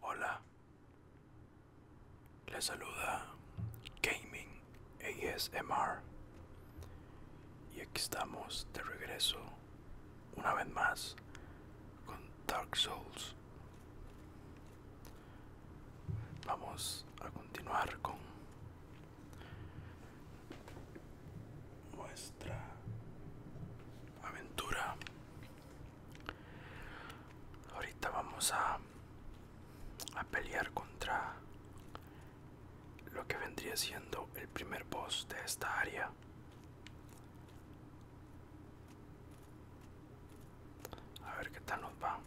Hola, les saluda Gaming ASMR y aquí estamos de regreso una vez más con Dark Souls. Vamos a continuar con nuestra aventura ahorita vamos a a pelear contra lo que vendría siendo el primer boss de esta área a ver qué tal nos va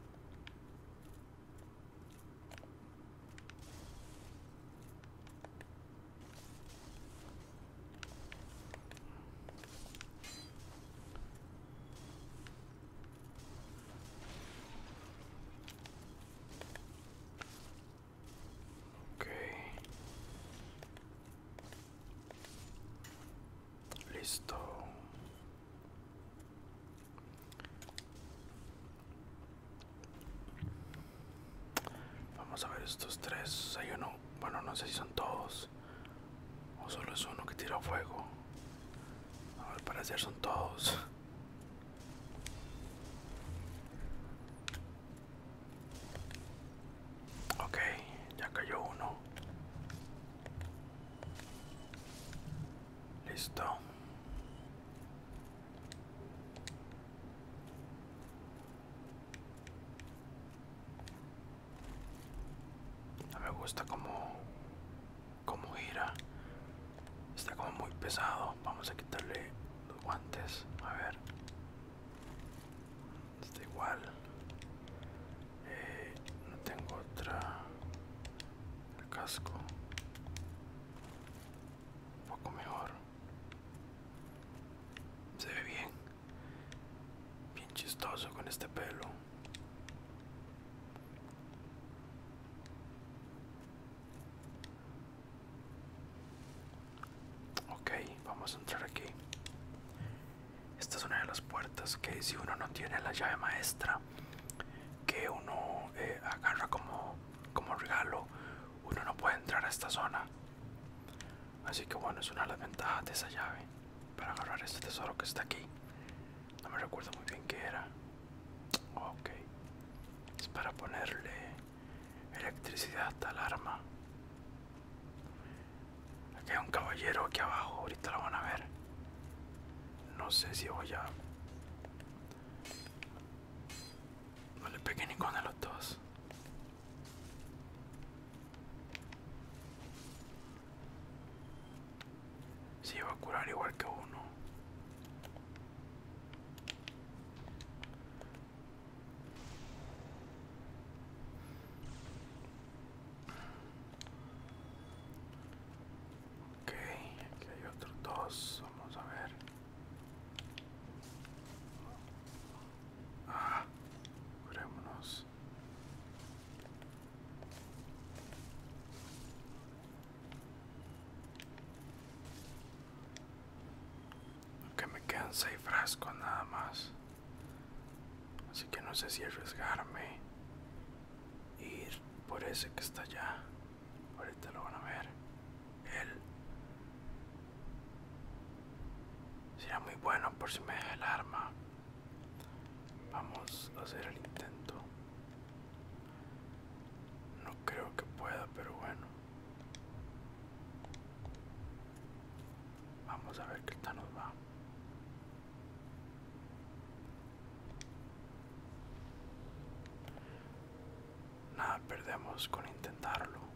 Okay. Listo. Vamos a ver estos tres. Hay uno, bueno, no sé si son todos o solo es uno que tira fuego. A parecer son todos. Ok, ya cayó uno. Listo. No me gusta como como gira. Está como muy pesado. Vamos a quitarle los guantes. A ver. Está igual. Eh, no tengo otra. casco. Un poco mejor. Se ve bien. Bien chistoso con este pelo. Ok, vamos a entrar aquí. Esta es una de las puertas que si uno no tiene la llave maestra que uno eh, agarra como, como regalo uno no puede entrar a esta zona. Así que bueno, es una de las ventajas de esa llave para agarrar este tesoro que está aquí. No me recuerdo muy bien qué era. Ok. Es para ponerle electricidad al arma. Aquí hay un caballero aquí abajo, ahorita lo van a ver. No sé si voy a no le pegué ninguno de los dos. Si va a curar igual que uno. Ok, aquí hay otros dos, vamos a ver. Ah, curémonos. Aunque me quedan seis frascos nada más. Así que no sé si arriesgarme. Ir por ese que está allá. Ahorita lo van a ver. Él Será muy bueno por si me deja el arma. Vamos a hacer el intento. No creo que pueda, pero bueno. Vamos a ver qué tal nos va. Nada perdemos con intentarlo.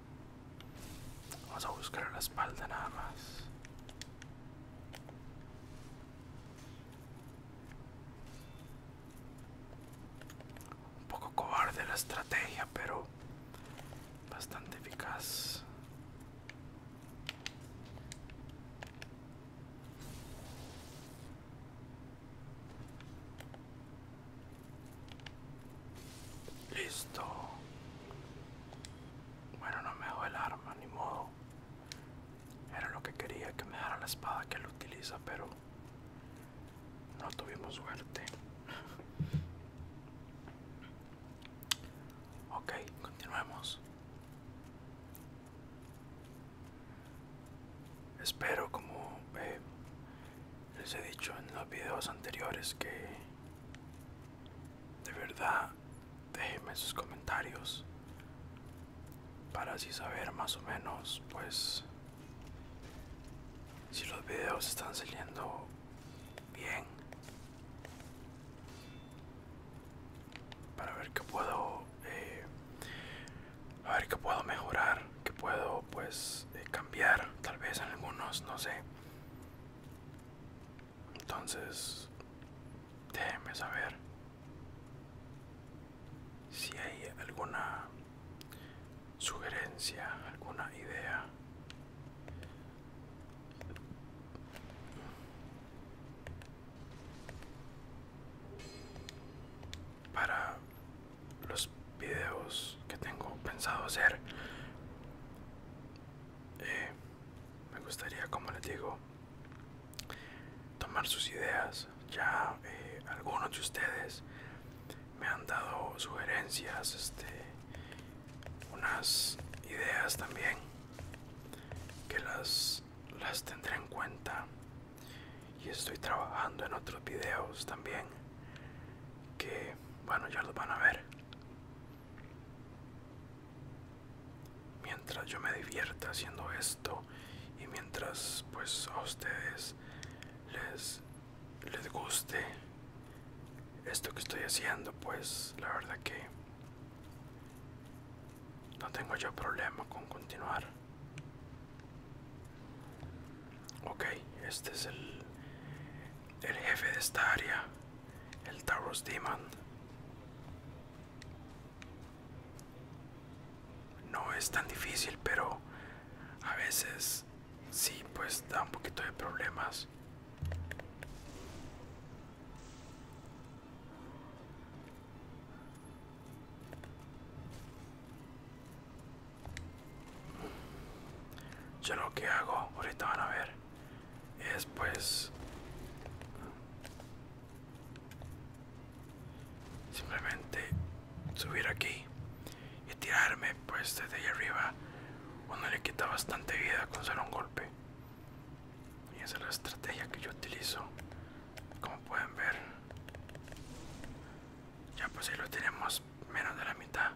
Vamos a buscar la espalda nada más. Un poco cobarde la estrategia, pero bastante eficaz. Listo. Bueno, no me dejó el arma, ni modo. Era lo que quería, que me dejara la espada que él utiliza, pero no tuvimos suerte. ok, continuemos. Espero, como eh, les he dicho en los videos anteriores, que de verdad déjenme sus comentarios para así saber más o menos pues si los videos están saliendo bien para ver qué puedo eh, ver qué puedo mejorar que puedo pues eh, cambiar tal vez en algunos no sé entonces, déjeme saber si hay alguna sugerencia, alguna idea. Para los videos que tengo pensado hacer, eh, me gustaría, como les digo, tomar sus ideas. Ya eh, algunos de ustedes me han dado sugerencias, este, unas ideas también que las, las tendré en cuenta y estoy trabajando en otros videos también que bueno ya los van a ver Mientras yo me divierta haciendo esto y mientras pues a ustedes les, les guste esto que estoy haciendo, pues la verdad que no tengo yo problema con continuar. Ok, este es el, el jefe de esta área, el Taurus Demon, no es tan difícil, pero a veces sí, pues da un poquito de problemas. Yo lo que hago, ahorita van a ver, es pues simplemente subir aquí y tirarme pues desde ahí arriba. Uno le quita bastante vida con solo un golpe. Y esa es la estrategia que yo utilizo. Como pueden ver. Ya pues si lo tenemos menos de la mitad.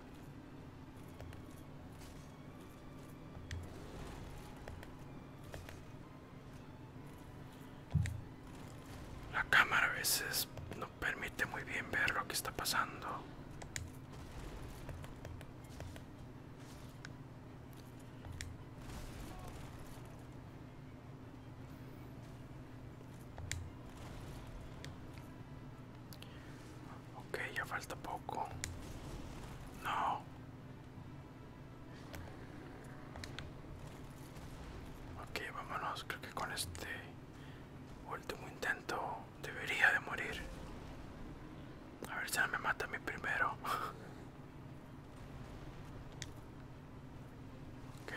La cámara a veces no permite muy bien ver lo que está pasando. Ok, ya falta poco. No. Ok, vámonos. Creo que con este último intento debería de morir. A ver si no me mata a mí primero. ok.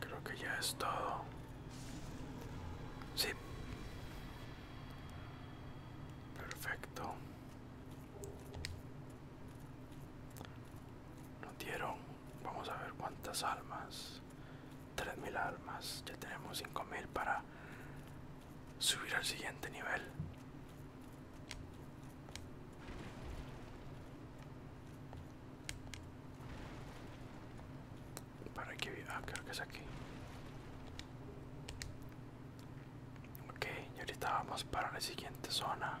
Creo que ya es todo. Sí. Perfecto. Nos dieron, vamos a ver cuántas almas. 3.000 almas. Ya tenemos 5.000 para subir al siguiente nivel. Para que... Ah, creo que es aquí. Ok, y ahorita vamos para la siguiente zona.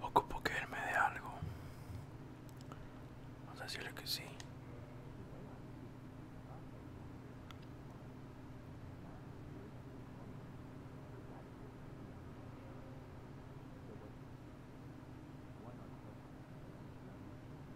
Ocupo quererme de algo. Vamos a decirle que sí.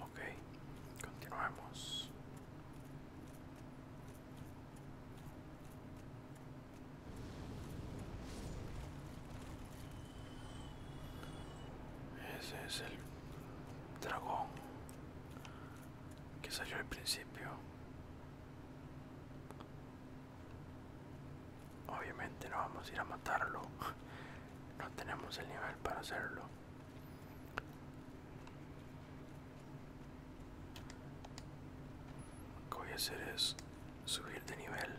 Okay, continuamos. Ese es el dragón que salió al principio. Obviamente no vamos a ir a matarlo. No tenemos el nivel para hacerlo. Lo que voy a hacer es subir de nivel.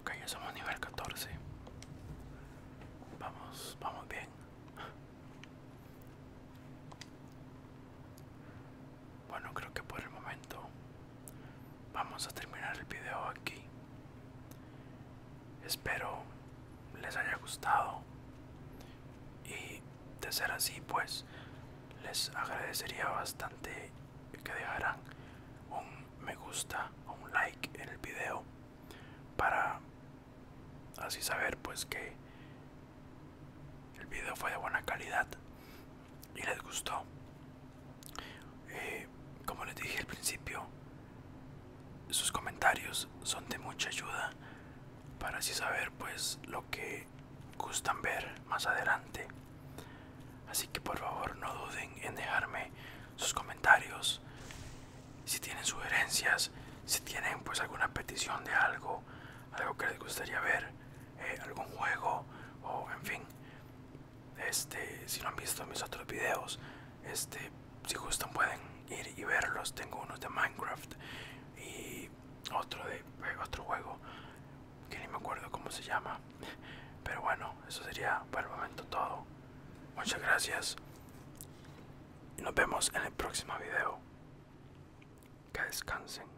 Ok, ya somos nivel 14. Vamos, vamos bien. Bueno, creo que por el momento vamos a terminar el video aquí espero les haya gustado y de ser así pues les agradecería bastante que dejaran un me gusta o un like en el video para así saber pues que el video fue de buena calidad y les gustó eh, como les dije al principio, sus comentarios son de mucha ayuda para así saber pues lo que gustan ver más adelante. Así que por favor no duden en dejarme sus comentarios. Si tienen sugerencias, si tienen pues alguna petición de algo, algo que les gustaría ver, eh, algún juego o en fin, este, si no han visto mis otros videos, este, si gustan pueden ir y verlos. Tengo unos de Minecraft y otro de eh, otro juego que ni me acuerdo cómo se llama. Pero bueno, eso sería por el momento todo. Muchas gracias y nos vemos en el próximo video. Que descansen.